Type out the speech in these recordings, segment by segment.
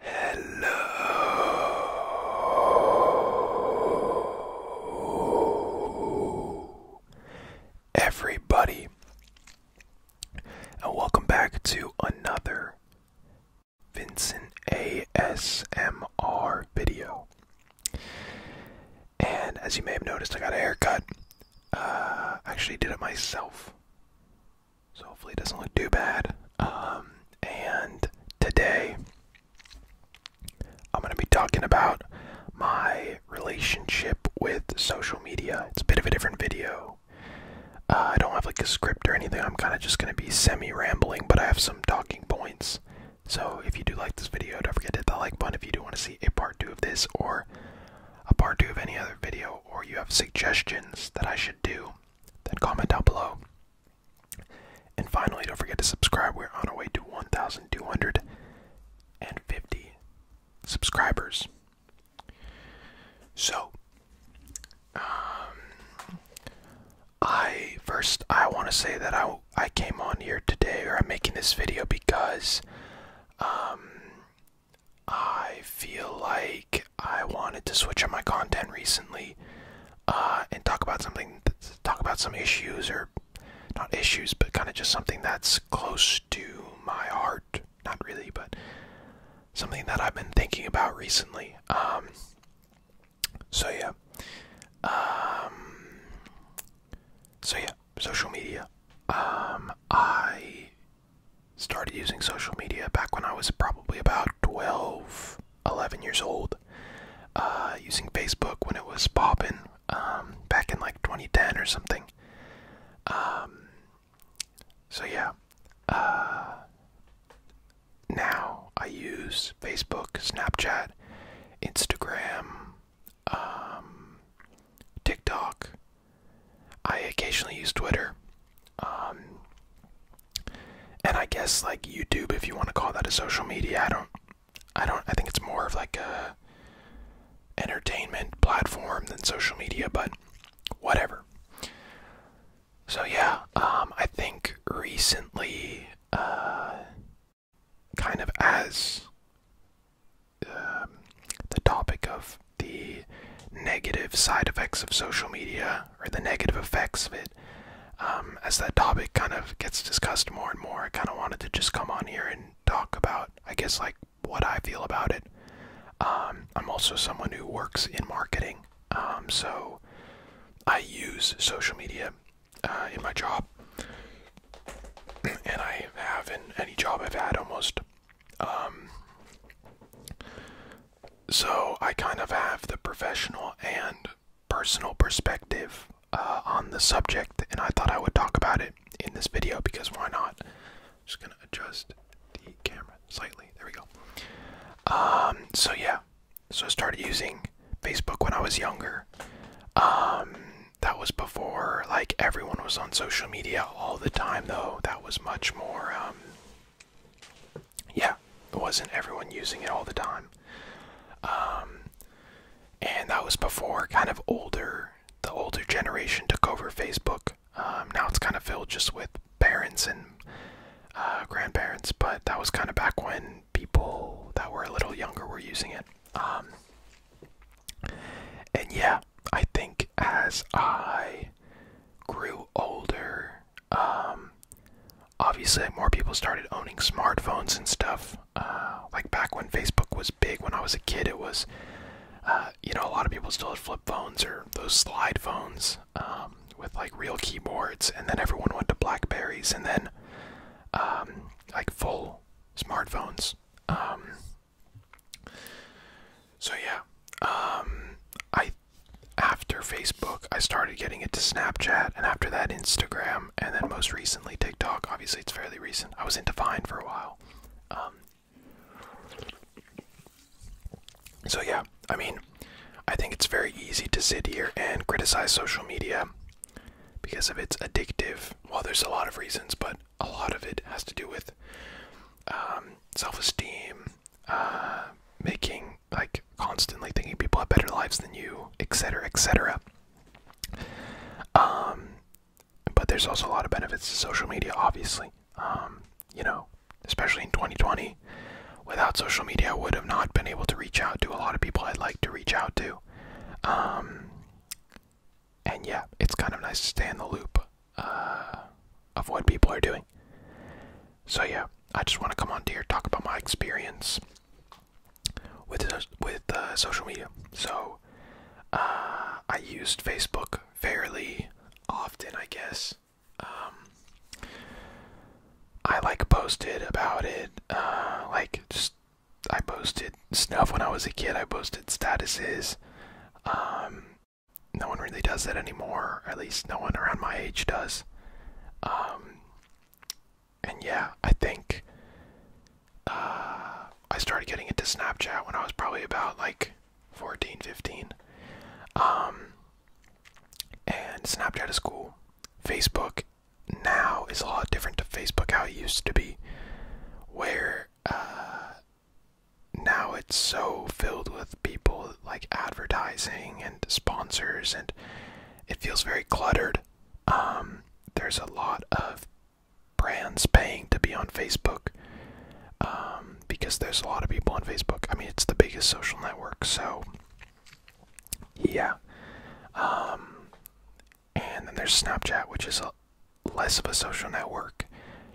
Hello, everybody, and welcome back to another Vincent ASMR video. And as you may have noticed, I got a haircut. I uh, actually did it myself. So hopefully it doesn't look too bad. Um, and today I'm going to be talking about my relationship with social media. It's a bit of a different video. Uh, I don't have like a script or anything. I'm kind of just going to be semi rambling, but I have some talking points. So if you do like this video, don't forget to hit the like button if you do want to see a part two of this or a part two of any other video, or you have suggestions that I should do then comment down below. And finally, don't forget to subscribe. We're on our way to 1,250 subscribers. So, um, I first I want to say that I I came on here today, or I'm making this video because, um, I feel like I wanted to switch up my content recently uh, and talk about something, talk about some issues or not issues, but kind of just something that's close to my heart. Not really, but something that I've been thinking about recently. Um, so yeah, um, so yeah, social media. Um, I started using social media back when I was probably about 12, 11 years old. Uh, using Facebook when it was popping um, back in like 2010 or something. Um, so yeah, uh, now I use Facebook, Snapchat, Instagram, um, TikTok, I occasionally use Twitter. Um, and I guess like YouTube, if you want to call that a social media, I don't, I don't, I think it's more of like a entertainment platform than social media, but whatever. So yeah, um, I think recently, uh, kind of as um, the topic of the negative side effects of social media or the negative effects of it. Um, as that topic kind of gets discussed more and more, I kind of wanted to just come on here and talk about, I guess, like what I feel about it. Um, I'm also someone who works in marketing, um, so I use social media uh, in my job, and I have in any job I've had almost um, so I kind of have the professional and personal perspective uh, on the subject, and I thought I would talk about it in this video because why not? just gonna adjust the camera slightly. There we go. Um, so yeah, so I started using Facebook when I was younger. Um, that was before like everyone was on social media all the time, though. That was much more, um, yeah, it wasn't everyone using it all the time. Um, and that was before kind of older, the older generation took over Facebook. Um, now it's kind of filled just with parents and uh, grandparents, but that was kind of back when people that were a little younger were using it. and yeah, I think as I grew older, um, obviously more people started owning smartphones and stuff. Uh, like back when Facebook was big, when I was a kid, it was, uh, you know, a lot of people still had flip phones or those slide phones um, with like real keyboards, and then everyone went to Blackberries, and then um, like full smartphones. Um, so yeah, um, I after Facebook, I started getting it to Snapchat, and after that, Instagram, and then most recently TikTok. Obviously, it's fairly recent. I was into Vine for a while. Um, so yeah, I mean, I think it's very easy to sit here and criticize social media because of its addictive. Well, there's a lot of reasons, but a lot of it has to do with um, self-esteem, uh, making like constantly thinking people have better lives than you, etc., etc. Um, but there's also a lot of benefits to social media, obviously. Um, you know, especially in 2020, without social media, I would have not been able to reach out to a lot of people I'd like to reach out to. Um, and yeah, it's kind of nice to stay in the loop uh, of what people are doing. So yeah, I just want to come on here talk about my experience with with uh, social media. So uh, I used Facebook fairly often, I guess. Um, I like posted about it, like just I posted stuff when I was a kid. I posted statuses. Um, no one really does that anymore. At least no one around my age does. Um, and yeah, I think uh, I started getting into Snapchat when I was probably about like 14, 15. Um, and Snapchat is cool. Facebook now is a lot different to Facebook how it used to be, where uh, now it's so filled with people like advertising and sponsors, and it feels very cluttered. Um, there's a lot of brands paying to be on Facebook um, because there's a lot of people on Facebook. I mean, it's the biggest social network, so yeah. Um, and then there's Snapchat, which is a, less of a social network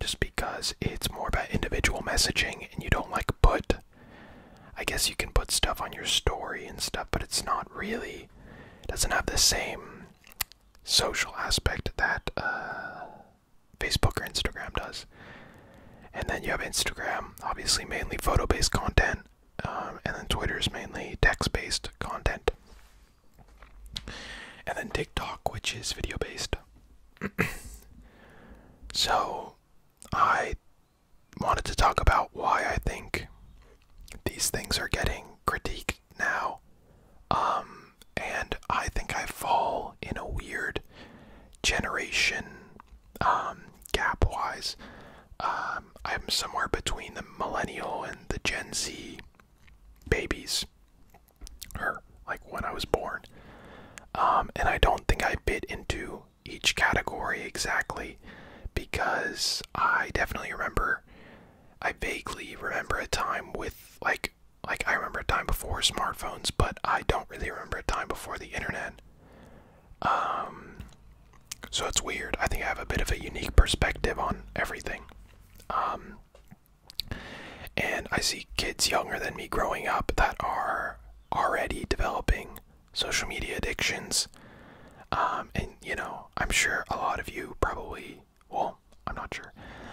just because it's more about individual messaging and you don't like put. I guess you can put stuff on your story and stuff, but it's not really. doesn't have the same social aspect that uh, Facebook or Instagram does. And then you have Instagram, obviously mainly photo based content, um, and then Twitter is mainly text based content and then TikTok, which is video based. so, I wanted to talk about why I think these things are getting critiqued now. Um, and I think I fall in a weird generation um, gap wise. Um, I'm somewhere between the millennial and the Gen Z babies, or like when I was born. Um, and I don't think I bit into each category exactly because I definitely remember. I vaguely remember a time with like like I remember a time before smartphones, but I don't really remember a time before the internet. Um, so it's weird. I think I have a bit of a unique perspective on everything. Um, and I see kids younger than me growing up that are already developing social media addictions. Um, and, you know, I'm sure a lot of you probably, well, I'm not sure.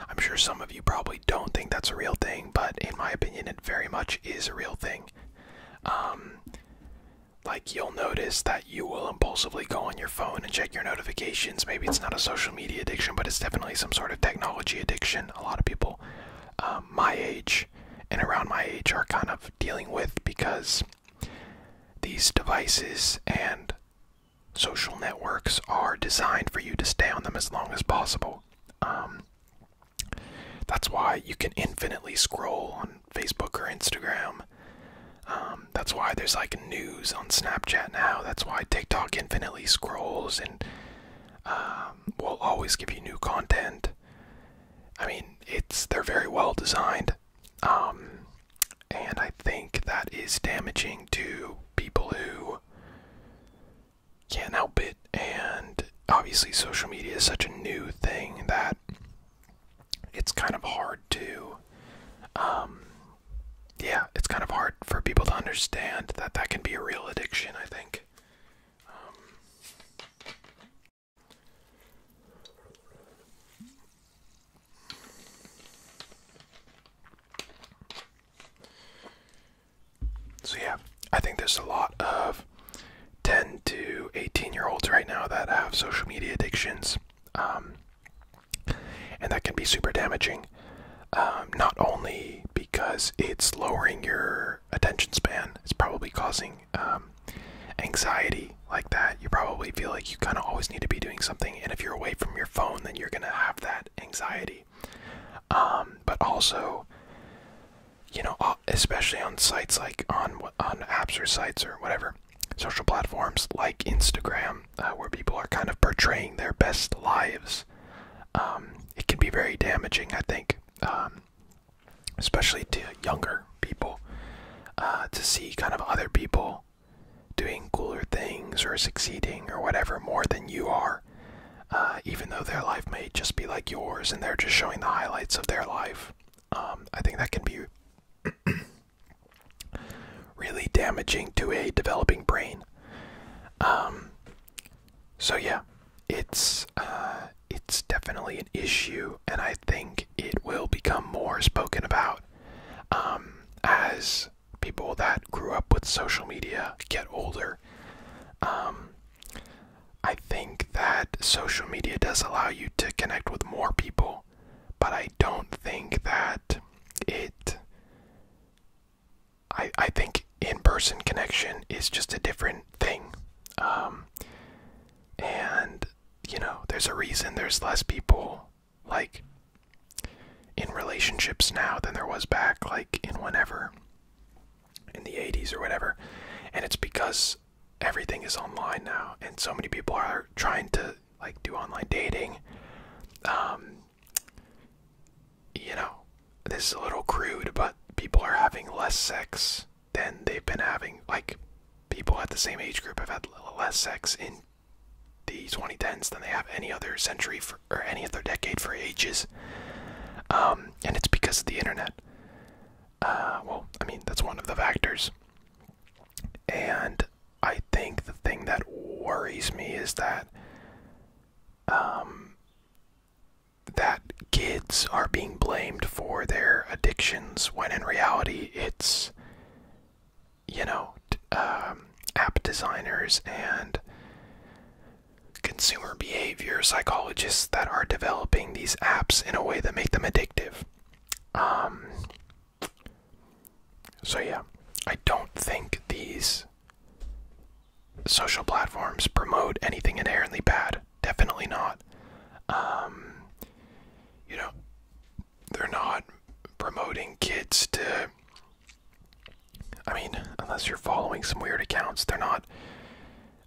I'm sure some of you probably don't think that's a real thing, but in my opinion, it very much is a real thing. Um, like you'll notice that you will impulsively go on your phone and check your notifications. Maybe it's not a social media addiction, but it's definitely some sort of technology addiction. A lot of people um, my age and around my age are kind of dealing with because these devices and social networks are designed for you to stay on them as long as possible. Um, that's why you can infinitely scroll on Facebook or Instagram. Um, that's why there's like news on Snapchat now. That's why TikTok infinitely scrolls and um, will always give you new content. I mean, it's they're very well designed, um, and I think that is damaging to people who can't help it. And obviously, social media is such a new thing that it's kind of hard to um yeah, it's kind of hard for people to understand that that can be a real addiction, I think. Um, so, yeah, I think there's a lot of 10 to 18 year olds right now that have social media addictions. Um, and that can be super damaging. Um, not only because it's lowering your attention span, it's probably causing um, anxiety like that. You probably feel like you kind of always need to be doing something, and if you're away from your phone, then you're gonna have that anxiety. but also, you know, uh, especially on sites like on on apps or sites or whatever, social platforms like Instagram, uh, where people are kind of portraying their best lives, um, it can be very damaging, I think, um, especially to younger people, uh, to see kind of other people doing cooler things or succeeding or whatever more than you are. Uh, even though their life may just be like yours and they're just showing the highlights of their life. Um, I think that can be really damaging to a developing brain. Um, so yeah, it's uh, it's definitely an issue, and I think it will become more spoken about um, as people that grew up with social media get older. I think that social media does allow you to connect with more people, but I don't think that it. I, I think in person connection is just a different thing. Um, and, you know, there's a reason there's less people, like, in relationships now than there was back, like, in whenever, in the 80s or whatever. And it's because everything is online now and so many people are trying to like do online dating um you know this is a little crude but people are having less sex than they've been having like people at the same age group have had less sex in the 2010s than they have any other century for, or any other decade for ages um and it's because of the internet uh, well, I mean, that's one of the factors. And I think the thing that worries me is that um, that kids are being blamed for their addictions when in reality it's you know um, app designers and consumer behavior psychologists that are developing these apps in a way that make them addictive um, so, yeah, I don't think these social platforms promote anything inherently bad. Definitely not. Um, you know, they're not promoting kids to. I mean, unless you're following some weird accounts, they're not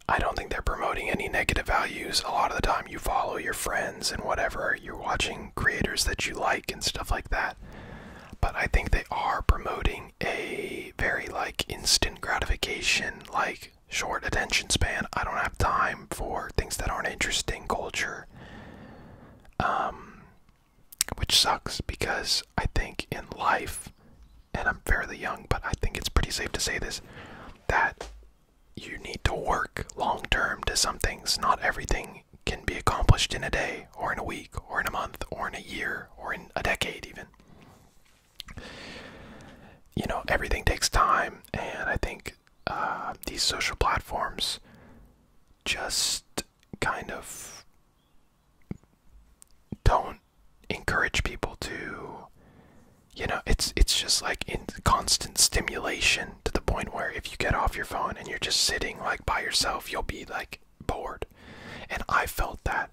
I don't think they're promoting any negative values. A lot of the time, you follow your friends and whatever, you're watching creators that you like and stuff like that. But I think they are promoting a very like instant gratification, like short attention span. I don't have time for things that aren't interesting culture. Um, which sucks because I think in life, and I'm fairly young, but I think it's pretty safe to say this that you need to work long term to some things. Not everything can be accomplished in a day, or in a week, or in a month, or in a year, or in a decade, even. You know, everything takes time, and I think uh, these social platforms just kind of don't encourage people to you know it's it's just like in constant stimulation to the point where if you get off your phone and you're just sitting like by yourself you'll be like bored and i felt that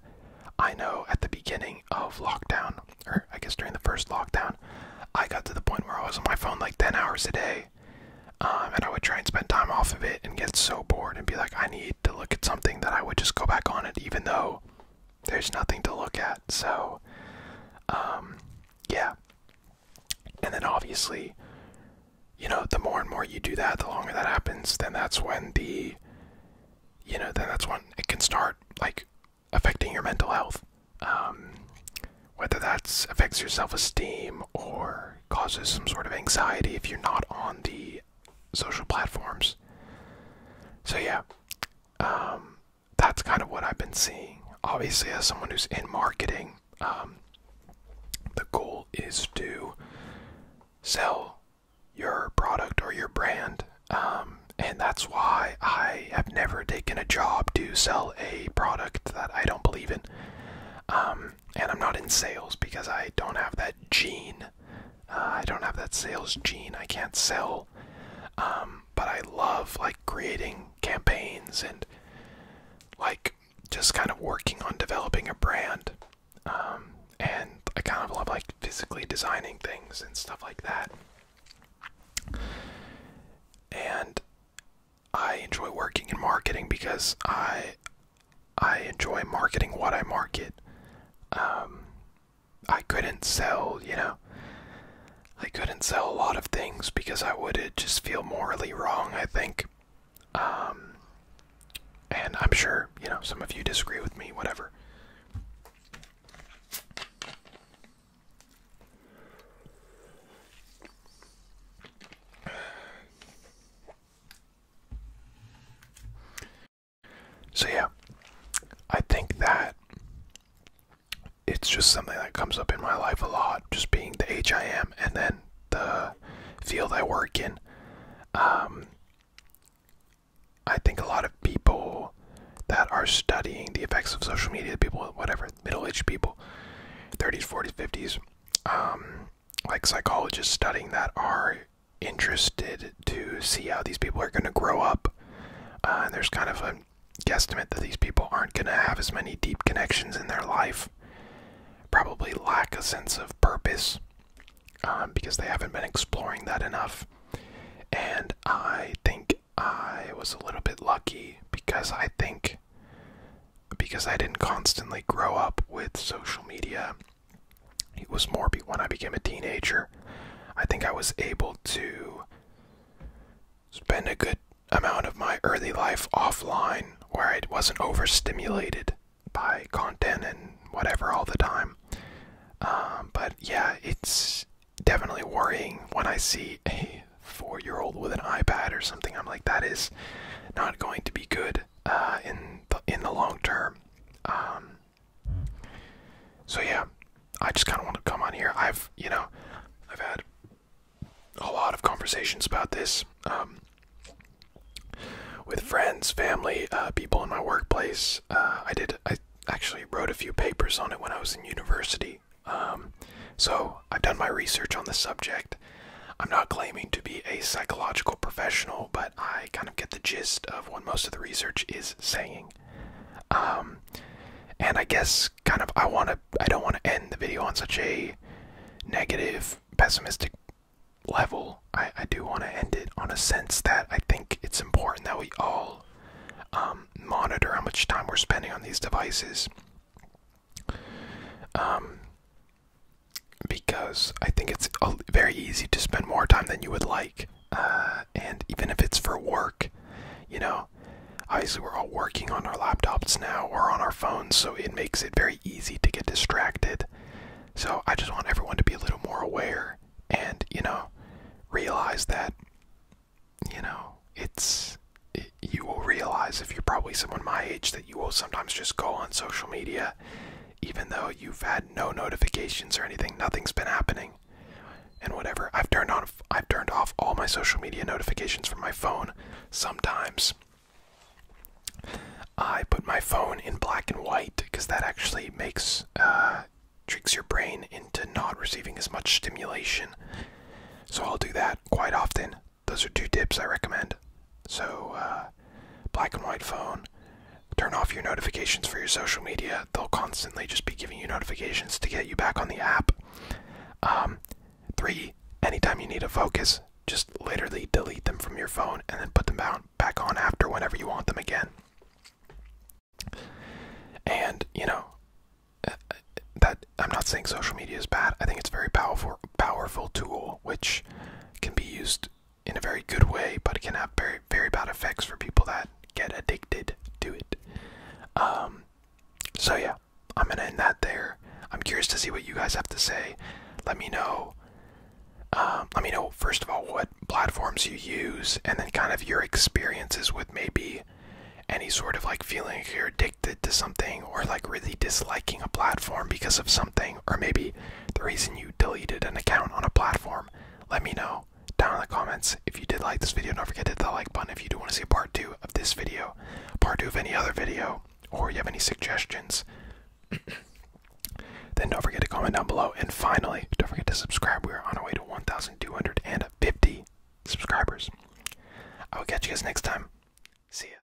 i know at the beginning of lockdown or i guess during the first lockdown i got to the point where i was on my phone like 10 hours a day um, and i would try and spend time off of it and get so bored and be like i need to look at something that I would just go back on it, even though there's nothing to look at. So, um, yeah. And then obviously, you know, the more and more you do that, the longer that happens, then that's when the, you know, then that's when it can start like affecting your mental health. Um, whether that affects your self esteem or causes some sort of anxiety if you're not on the social platforms. So yeah, um, that's kind of what I've been seeing. Obviously, as someone who's in marketing, um, the goal is to sell your product or your brand. Um, and that's why I have never taken a job to sell a product that I don't believe in. and I'm not in sales because I don't have that gene uh, I don't have that sales gene. I can't sell. Um, but I love like creating campaigns and like just kind of working on developing a brand. Um, and I kind of love like physically designing things and stuff like that. And I enjoy working in marketing because I I enjoy marketing what I market. Um, I couldn't sell, you know. I couldn't sell a lot of things because I would just feel morally wrong, I think. Um, and I'm sure, you know, some of you disagree with me, whatever. So yeah, I think that it's just something that comes up in my life a lot, just being the age I am and then the field I work in. Um, I think a lot of people that are studying the effects of social media, people, whatever, middle aged people, 30s, 40s, 50s, um, like psychologists studying that are interested to see how these people are going to grow up. Uh, and there's kind of a guesstimate that these people aren't going to have as many deep connections in their life, probably lack a sense of purpose um, because they haven't been exploring that enough. And I think I was a little bit lucky because I think because I didn't constantly grow up with social media it was more when I became a teenager. I think I was able to spend a good amount of my early life offline where I wasn't overstimulated by content and whatever all the time. Um, but yeah, it's definitely worrying when I see a four year old with an iPad or something. I'm like, that is not going to be good uh, in, in the long term. Um, so yeah, I just kind of want to come on here. I've, you know, I've had a lot of conversations about this um, with friends, family, uh, people in my workplace. Uh, I did, I actually wrote a few papers on it when I was in university. Um, so I've done my research on the subject. I'm not claiming to be a psychological professional, but. I kind of get the gist of what most of the research is saying. Um, and I guess kind of I want to I don't want to end the video on such a negative, pessimistic level. I, do want to end it on a sense that I think it's important that we all um, monitor how much time we're spending on these devices. Um, because I think it's very easy to spend more time than you would like. Uh, and even if it's for work, you know, obviously we're all working on our laptops now or on our phones, so it makes it very easy to get distracted. So I just want everyone to be a little more aware and, you know, realize that, you know, it's. you will realize if you're probably someone my age that you will sometimes just go on social media even though you've had no notifications or anything, nothing's been happening. And whatever, I've turned on, I've turned off all my social media notifications from my phone. Sometimes I put my phone in black and white because that actually makes uh, tricks your brain into not receiving as much stimulation. So I'll do that quite often those are two tips I recommend. So, uh, black and white phone, turn off your notifications for your social media. They'll constantly just be giving you notifications to get you back on the app. Um, three, anytime you need a focus, just literally delete them from your phone and then put them back on after whenever you want them again. And, you know, uh, that I'm not saying social media is bad. I think it's a very powerful, powerful tool, which can be used in a very good way, but it can have very, very bad effects for people that get addicted to it. Um, so yeah, I'm gonna end that there. I'm curious to see what you guys have to say. Let me know. Um, let me know first of all what platforms you use, and then kind of your experiences with maybe any sort of like feeling you're addicted to something or like really disliking a platform because of something or maybe the reason you deleted an account on a platform. Let me know down in the comments. If you did like this video, don't forget to hit the like button if you do want to see a part two of this video, part two of any other video, or you have any suggestions. then don't forget to comment down below. And finally, don't forget to subscribe. We are on our way to 1,250 subscribers. I will catch you guys next time. See ya.